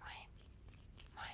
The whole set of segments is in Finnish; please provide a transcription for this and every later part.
Moi. Moi.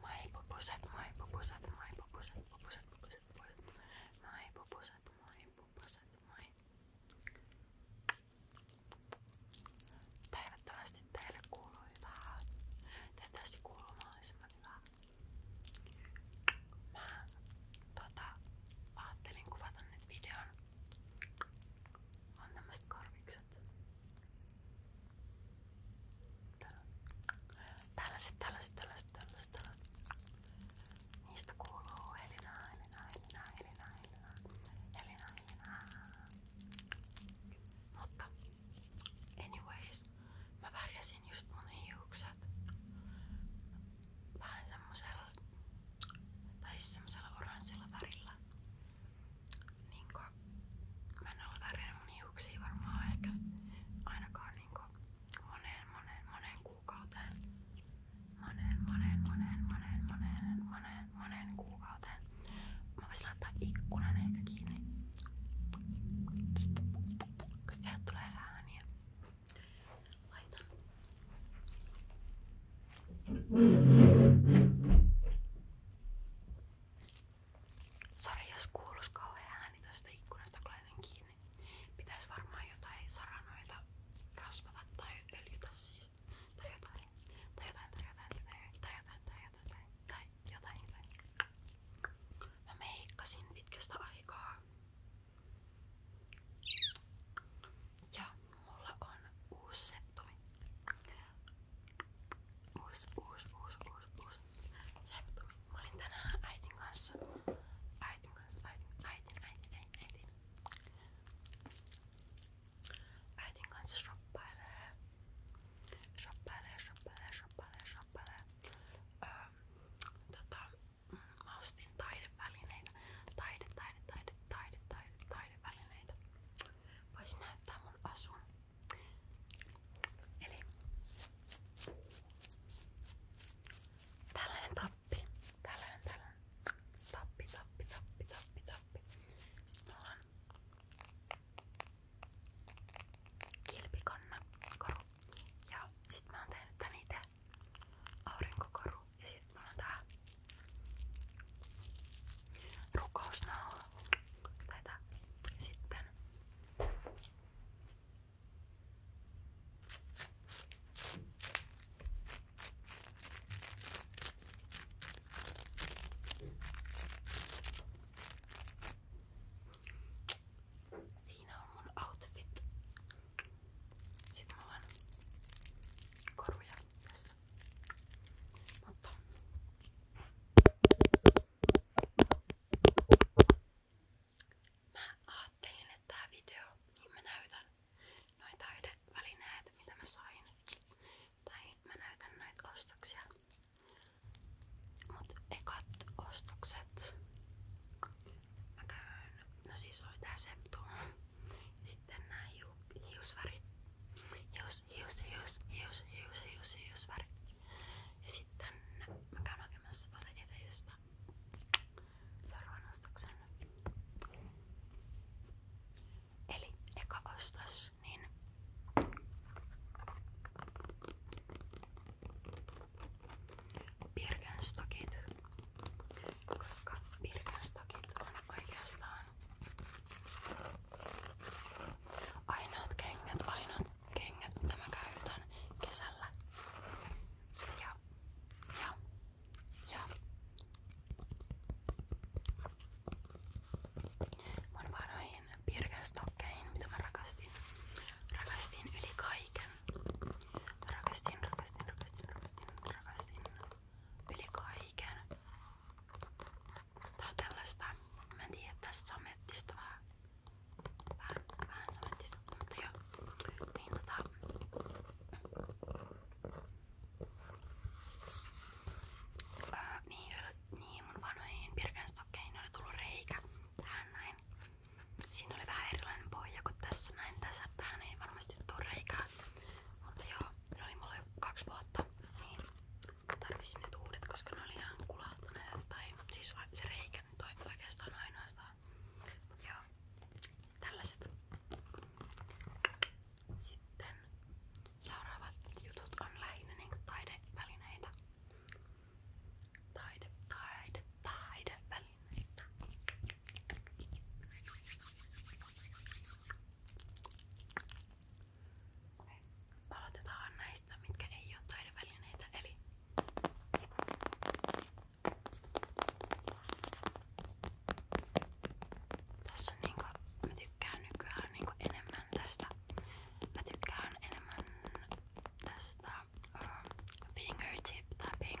Moi pupuset, moi pupuset, moi pupuset, pupuset, pupuset, pupuset. Moi pupuset, moi pupuset, moi. Toivottavasti teille kuuluu hyvää. Toivottavasti kuuluu mahdollisimman hyvää. Mä tota, ajattelin kuvata nyt videon on tämmöset karvikset. Tällaiset, tällaiset, tällaiset, tällaiset, tällaiset. Niistä kuuluu Elina, Elina, Elina, Elina, Elina, Elina, Mutta anyways, mä värjäsin just mun hiukset vähän semmosella tai siis semmoisella oranssilla värillä. Niinkö, mä en ole värjännyt mun hiuksia varmaan ehkä ainakaan niinkö moneen, moneen, moneen kuukauteen. Moneen, moneen, moneen, moneen, moneen, moneen, moneen kuukauteen. Mä voisin laittaa ikkunan ehkä kiinni. Kun sieltä tulee ääniä. Laita. Sori, jos kuuluis kauhean ääni tästä ikkunasta, kun laitan kiinni. Pitäis varmaan jotain saranoita rasvata tai öljytä siis. Tai jotain. Tai jotain, tai jotain, tai jotain, tai jotain, tai jotain, tai jotain. Tai jotain. Mä meikkasin pitkästä aikaa. Ja mulla on uusi septumi. Uusi, uusi, uusi, uusi, uusi septumi. Mä olin tänään äitin kanssa. Äitin kanssa, äitin, äitin, äitin, äitin, äitin. Äitin kanssa shoppailee. Shoppailee, shoppailee, shoppailee, shoppailee. Öö, tota, mm mä ostin taidevälineitä. Taide, taide, taide, taide, taide, taidevälineitä. Voisin näyttää mun asun. Eli tällainen tappi. Tällainen, tällainen. Tappi, tappi, tappi, tappi, tappi. Sitten mulla on kilpikonna koru. Ja sit mä oon tehnyt tän ite aurinkokoru. Ja sit mulla on tää rukousnaula. Tai tää. Sitten Siinä on mun outfit. Sitten mulla on koruja tässä. Mutta mä ajattelin, että tää video, niin mä näytän noita taidevälineitä, mitä mä sain. Tai mä näytän näitä ostoksia. Mut ekat ostokset mä käyn, no siis oli tää Septum. Sitten nämä hiu, hiusvärit. Hius, hius, hius, hius, hius, hius, hiusvärit. Ja sitten mä käyn hakemassa tuolta eteisestä seuraavan ostoksen. Eli eka ostos, niin Birkenstockit koska Birkenstakit on oikeastaan ainoat kengät, ainoat kengät, mitä mä käytän kesällä. Ja, ja, ja. Mun vanhoihin Birkenstockeihin, mitä mä rakastin, rakastin yli kaiken. Rakastin, rakastin, rakastin, rakastin, rakastin yli kaiken. Tää on tällaista, mä en tiedä, tässä samettista vähän, vähän, vähän samettista, mutta joo, niin tota, öö, niin, niin mun vanhoihin pirkanstokkeihin oli tullut reikä tähän näin. Siinä oli vähän erilainen pohja kuin tässä näin. Tässä tähän niin ei varmasti tuu reikää. Mutta joo, ne oli mulla jo kaksi vuotta, niin tarvitsin nyt uudet, koska ne oli ihan kulahtuneet. Tai siis se reikä nyt on oikeastaan ainoastaan. Mut joo, tällaiset. Sitten seuraavat jutut on lähinnä niinku taidevälineitä. Taide, taide, taidevälineitä aineita. Okay. Aloitetaan näistä, mitkä ei ole taidevälineitä, eli tässä on niinku, mä tykkään nykyään niinku enemmän tästä, mä tykkään enemmän tästä uh, fingertip tapping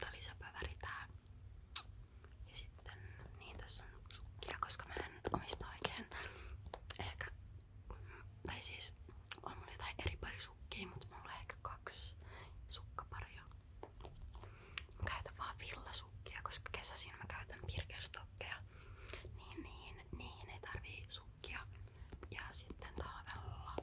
Tää oli söpö väri tää. Ja sitten, niin tässä on sukkia, koska mä en omista oikein. Ehkä, tai siis on mulla jotain eri pari sukkia, mutta mulla on ehkä kaksi sukkaparia. Mä käytän vaan villasukkia, koska kesäisin mä käytän pirkerstokkeja. Niin, niin, niin ei tarvii sukkia. Ja sitten talvella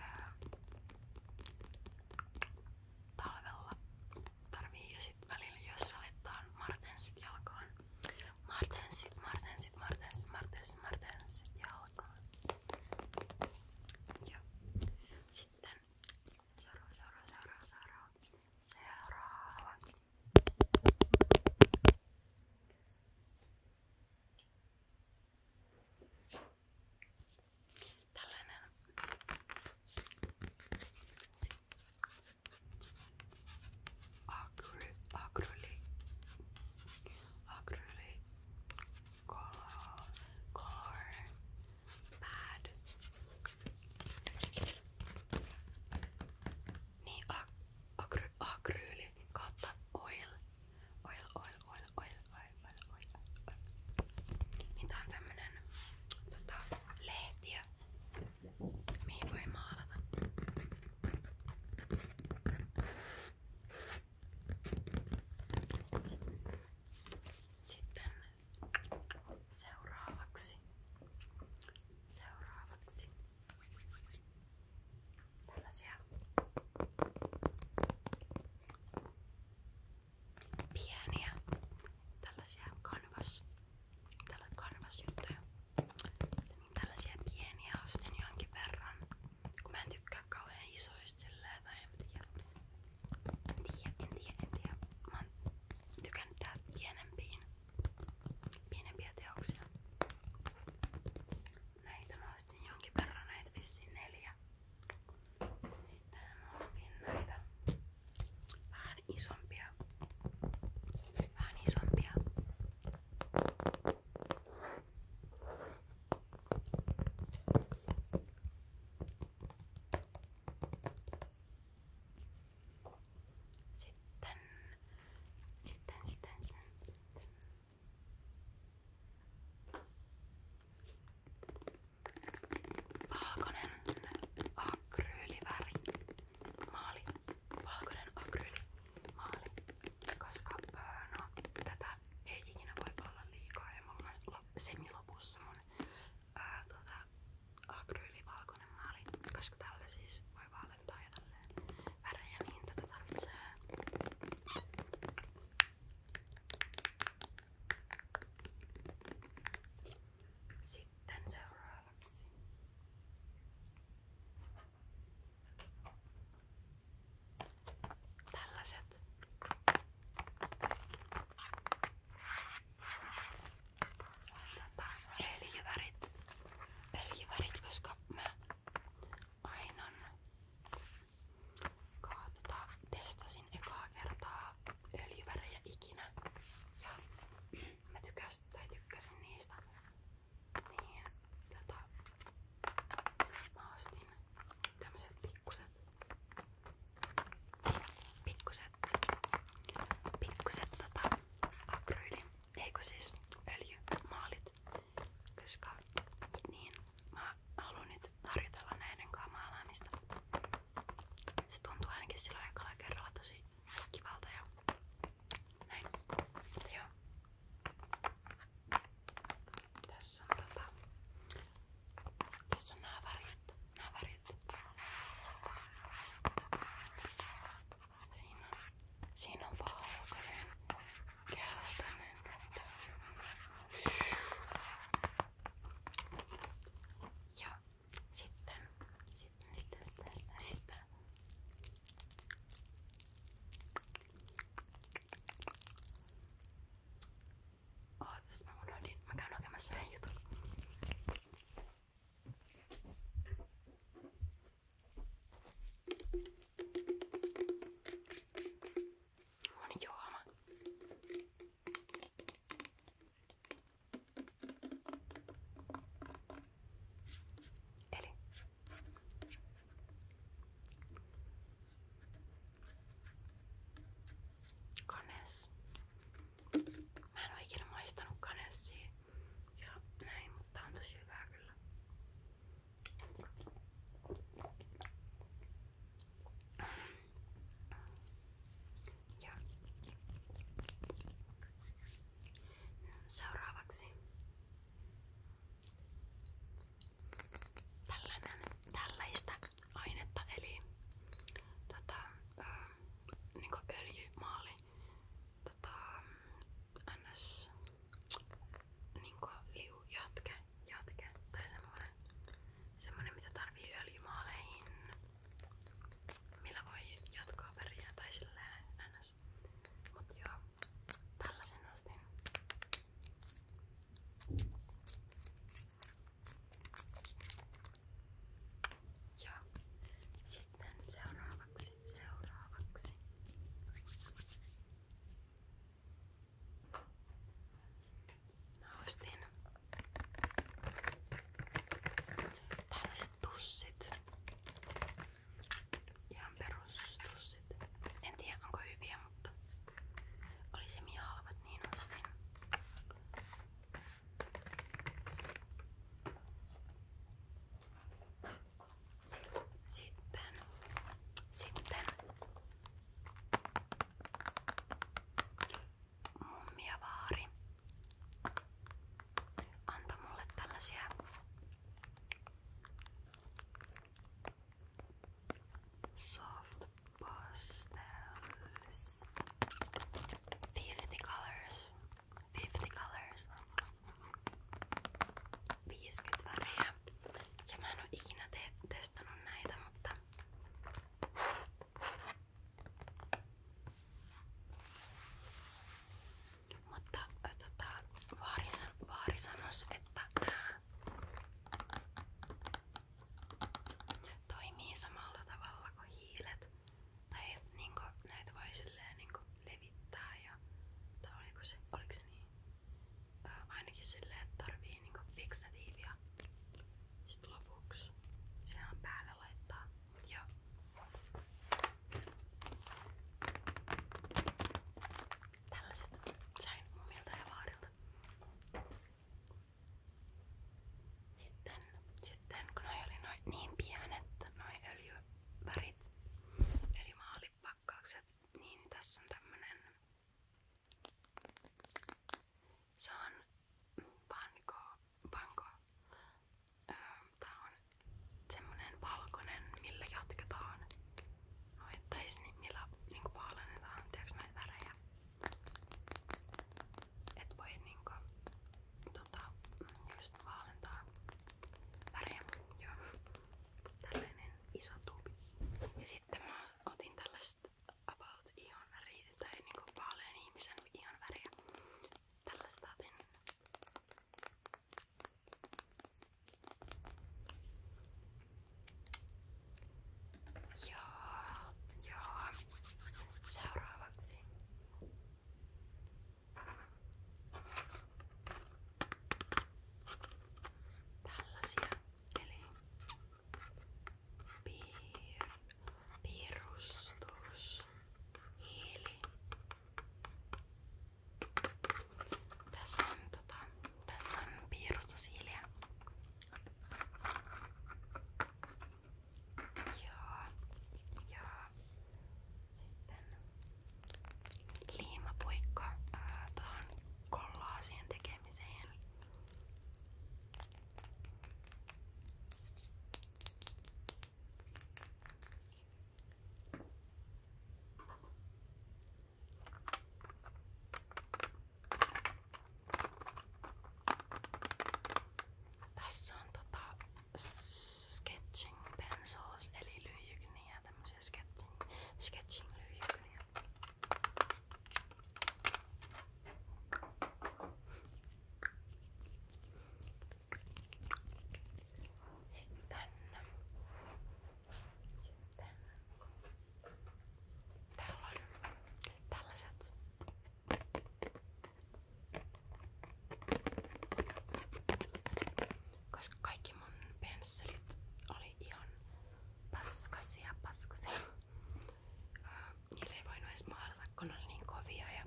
öö, talvella tarvii ja sit välillä jos valitaan martensit jalkaan. Martensit, martensit, martensit, martensit, martensit jalkaan. Ja sitten seuraava, seuraava, seuraava, seuraava, seuraava. Tällainen. Akry, akryli. Akryli. Color. Color. Bad. Niin, ak akry, akryli kautta oil. Oil, oil, oil, oil, oil, oil, oil, oil. Niin tää on tämmönen tota, lehtiö, mihin voi maalata. Sitten seuraavaksi. Seuraavaksi tällaisia pieniä tällaisia kanvas tällä kanvasjuttuja niin tällaisia pieniä ostin jonkin verran kun mä en tykkää kauhean isoista silleen tai en tiedä en tiedä, en tiedä, en tiedä mä oon tykännyt tehdä pienempiin pienempiä teoksia Näitä mä ostin jonkin verran, näitä vissiin neljä. Sitten mä ostin näitä vähän isompia. Vähän isompia. Sitten, sitten, sitten, sitten, sitten. Valkoinen akryyliväri. Maali. Valkoinen akryylimaali. Koska no, tätä ei ikinä voi olla liikaa ja mulla on semilopussa mun ää, tota, akryylivalkoinen maali. Koska tällä siis voi vaan valettaa ja tälleen värejä, niin tätä tarvitsee sitten seuraavaksi tällaiset Tätä Ainon kaatota. Testasin ekaa kertaa öljyvärejä ikinä ja mä tykäs, tai tykkäsin niistä. Niin, tota, mä ostin tämmöset pikkuset, pikkuset, pikkuset tota, akryyli, eikö siis öljymaalit koska niin mä haluan nyt harjoitella näiden kanssa maalaamista. Se tuntuu ainakin silloin aikalla kerralla tosi kivalta ja näin. Mutta joo. Tässä on tota... Tässä on nää värit. Nää värit. Siinä, siinä on valkoinen, keltainen. Ja sitten, sitten, sitten, sitten, sitten, sitten. Oh, tässä mä unohdin. Mä käyn hakemassa vähän jutun. On juoma. Eli kanes. Mä en oo ikinä maistanut kanessia ja näin, mutta on tosi hyvää kyllä. Ja. Seuraavaksi tällainen, tällaista ainetta eli tota, ö, niin öljymaali tota, ns niinku liu jatke, jatke tai semmonen, semmonen mitä tarvii öljymaaleihin millä voi jatkaa väriä tai silleen ns mut joo, tällaisen ostin ja sit sitten seuraavaksi, seuraavaksi. Mä ostin tällaiset tussit. Ihan perustussit. En tiedä onko hyviä, mutta oli se halvat, niin ostin. Sitten, sitten mummiavaari antoi mulle tällaisia soft pastels 50 colors 50 colors 50 väriä. Ja mä en oo ikinä te testannut näitä, mutta mutta tota, vaari, vaari sanos, että nää toimii samalla tavalla kuin hiilet tai et, niinku, näitä voi silleen niinku, levittää ja tai oliko se, oliko se niin? Ö, ainakin silleen, että tarvii niinku, fiksatiivia sit lopuksi sehän päälle laittaa, mut joo. Tällaiset sain mummilta ja vaarilta. Sitten, sitten kun noi oli noi niin pienet, noi öljy värit eli maalipakkaukset, niin tässä on tämmönen se on panko, panko. Öö, tää on semmonen valkoinen, millä jatketaan noitais, niin millä niinku paalennetaan, tiiäks näitä värejä et voi niinku tota, just vaalentaa väriä. Joo. Tällainen iso tubi. Ja sitten mä otin tällaista about ihan väriä tai niinku vaalean ihmisen ihan väriä. Tällaista otin. Joo, joo. Seuraavaksi Tällaisia, eli piir, piirustus, hiili. Tässä on, tota, tässä on piirustushiiliä. Joo. Joo. Sitten liimapuikko ää, tuohon kollaasien tekemiseen. Tässä on tota sketching pencils eli lyijykyniä, tämmösiä sketching, sketching lyijykyniä. Sitten, sitten täällä on tällaiset Koska kaikki mun pensselit oli ihan paskasia, paskasia. Niillä ei voinut edes maalata, kun oli niin kovia ja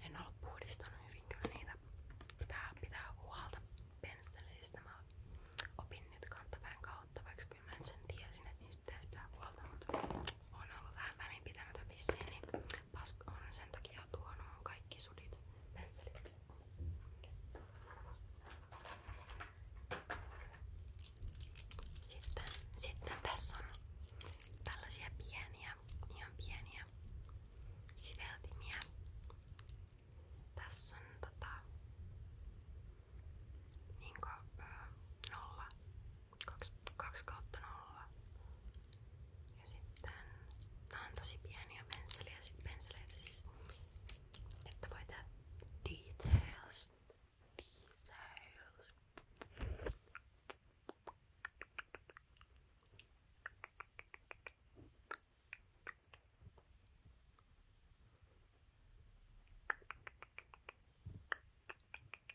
en ollut puhdistanut hyvin kyllä niitä. Pitää, pitää huolta pensselistä. Mä opin nyt kantapään kautta, vaikka kyllä mä sen tiesin, että niistä pitää pitää huolta, mutta on ollut vähän välinpitämätön vissiin, niin Paska on sen takia tuono on kaikki sudit, pensselit. Sitten, sitten tässä on tällaisia pieniä, ihan pieniä siveltimiä. Tässä on tota, niinku, nolla 2, 2 kautta nolla. Ja sitten nämä on tosi pieniä pensseliä, pensseleitä siis, että voi tehdä details. Details. Joo,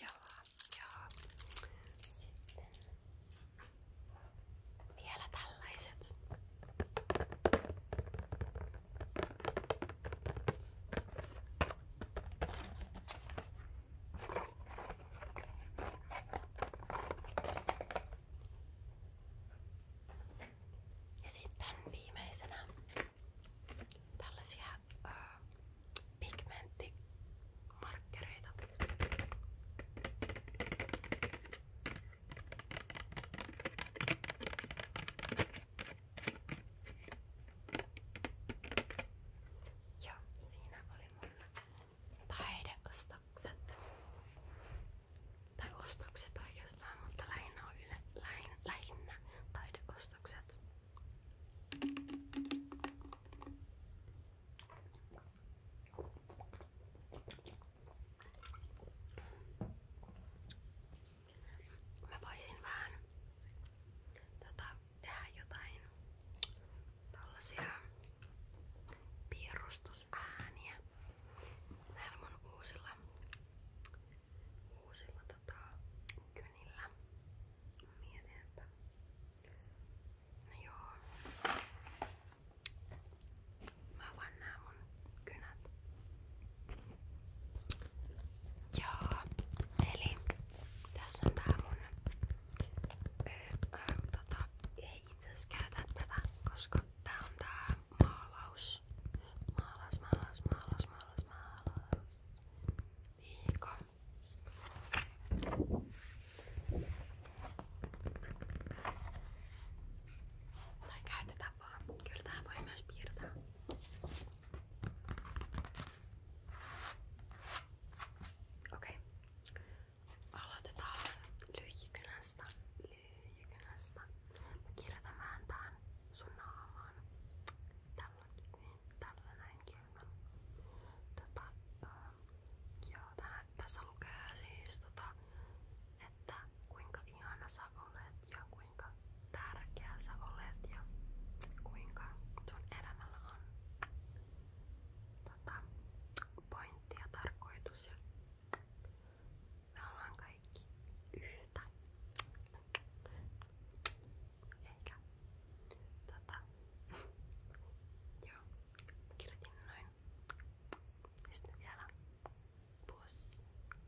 joo. Sitten vielä tällaiset. Ja sitten viimeisenä tällaisia öö, pigmenttimarkkereita. Joo, siinä oli mun taideostokset. Tai ostokset oikeastaan, mutta lähinnä on yle, lähinnä, lähinnä taideostokset. Mä voisin vähän tota, tehdä jotain tollasia piirustusääniä näillä mun uusilla, uusilla tota, kynillä. Mietin, että no joo. Mä vaan nää mun kynät Joo, eli tässä on tää mun öö, öö, tota, ei itse asiassa käytä tätä, koska tää on tää maalaus. Maalaus, maalaus, maalaus, maalaus, maalaus. Viikko. Tai käytetään vaan. Kyllä tää voi myös piirtää. Okei. Aloitetaan lyijykynästä. Lyijykynästä. Mä kirjoitan vähän tän sun naamaan. Tällä, niin, tällä näin kirjoitan. Tota, ähm, joo, tää, tässä lukee siis tota, että kuinka ihana sä olet ja kuinka tärkeä sä olet ja kuinka sun elämällä on tota, pointti ja tarkoitus. Ja me ollaan kaikki yhtä. Eikä. Tota. Joo. Kirjoitin noin. Sitten vielä. Puss.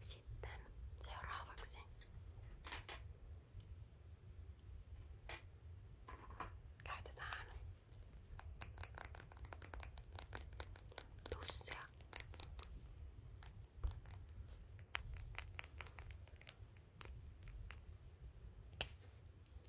Sitten seuraavaksi käytetään tussia.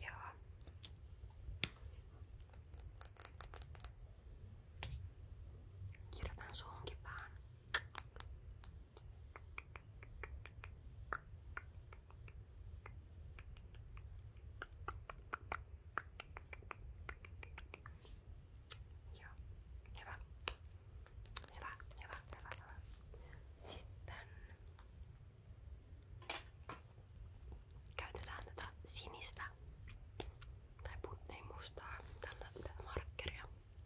Joo. Kirjoitan suunkin vähän. Joo, hyvä. Hyvä, hyvä, hyvä, hyvä. Sitten käytetään tätä sinistä tai ei mustaa tällä, tätä markkeria. Joo,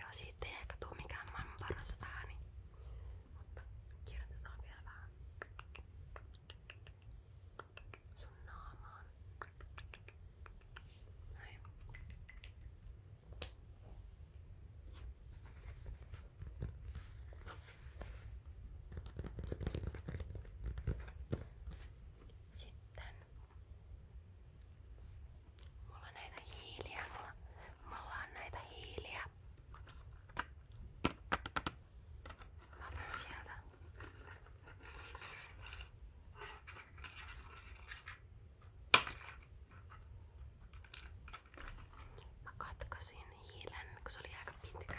Joo, siitä ei ehkä tuu mikään maailman paras ääni, mutta kirjoitetaan vielä vähän sun naamaan. Näin. Sitten mulla on näitä hiiliä, mulla, mulla on näitä hiiliä. Mä otan sieltä. Mä katkasin hiilen, kun se oli aika pitkä.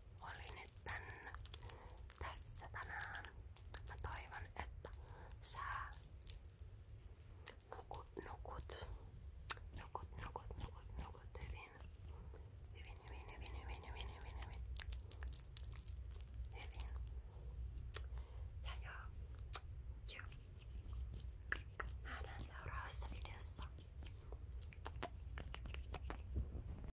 oli nyt tän, tässä tänään. Mä toivon, että sä nukut, nukut, nukut, nukut, nukut, nukut hyvin. Hyvin, hyvin, hyvin, hyvin, hyvin, hyvin, hyvin. Hyvin. Ja joo. Joo. Nähdään seuraavassa videossa.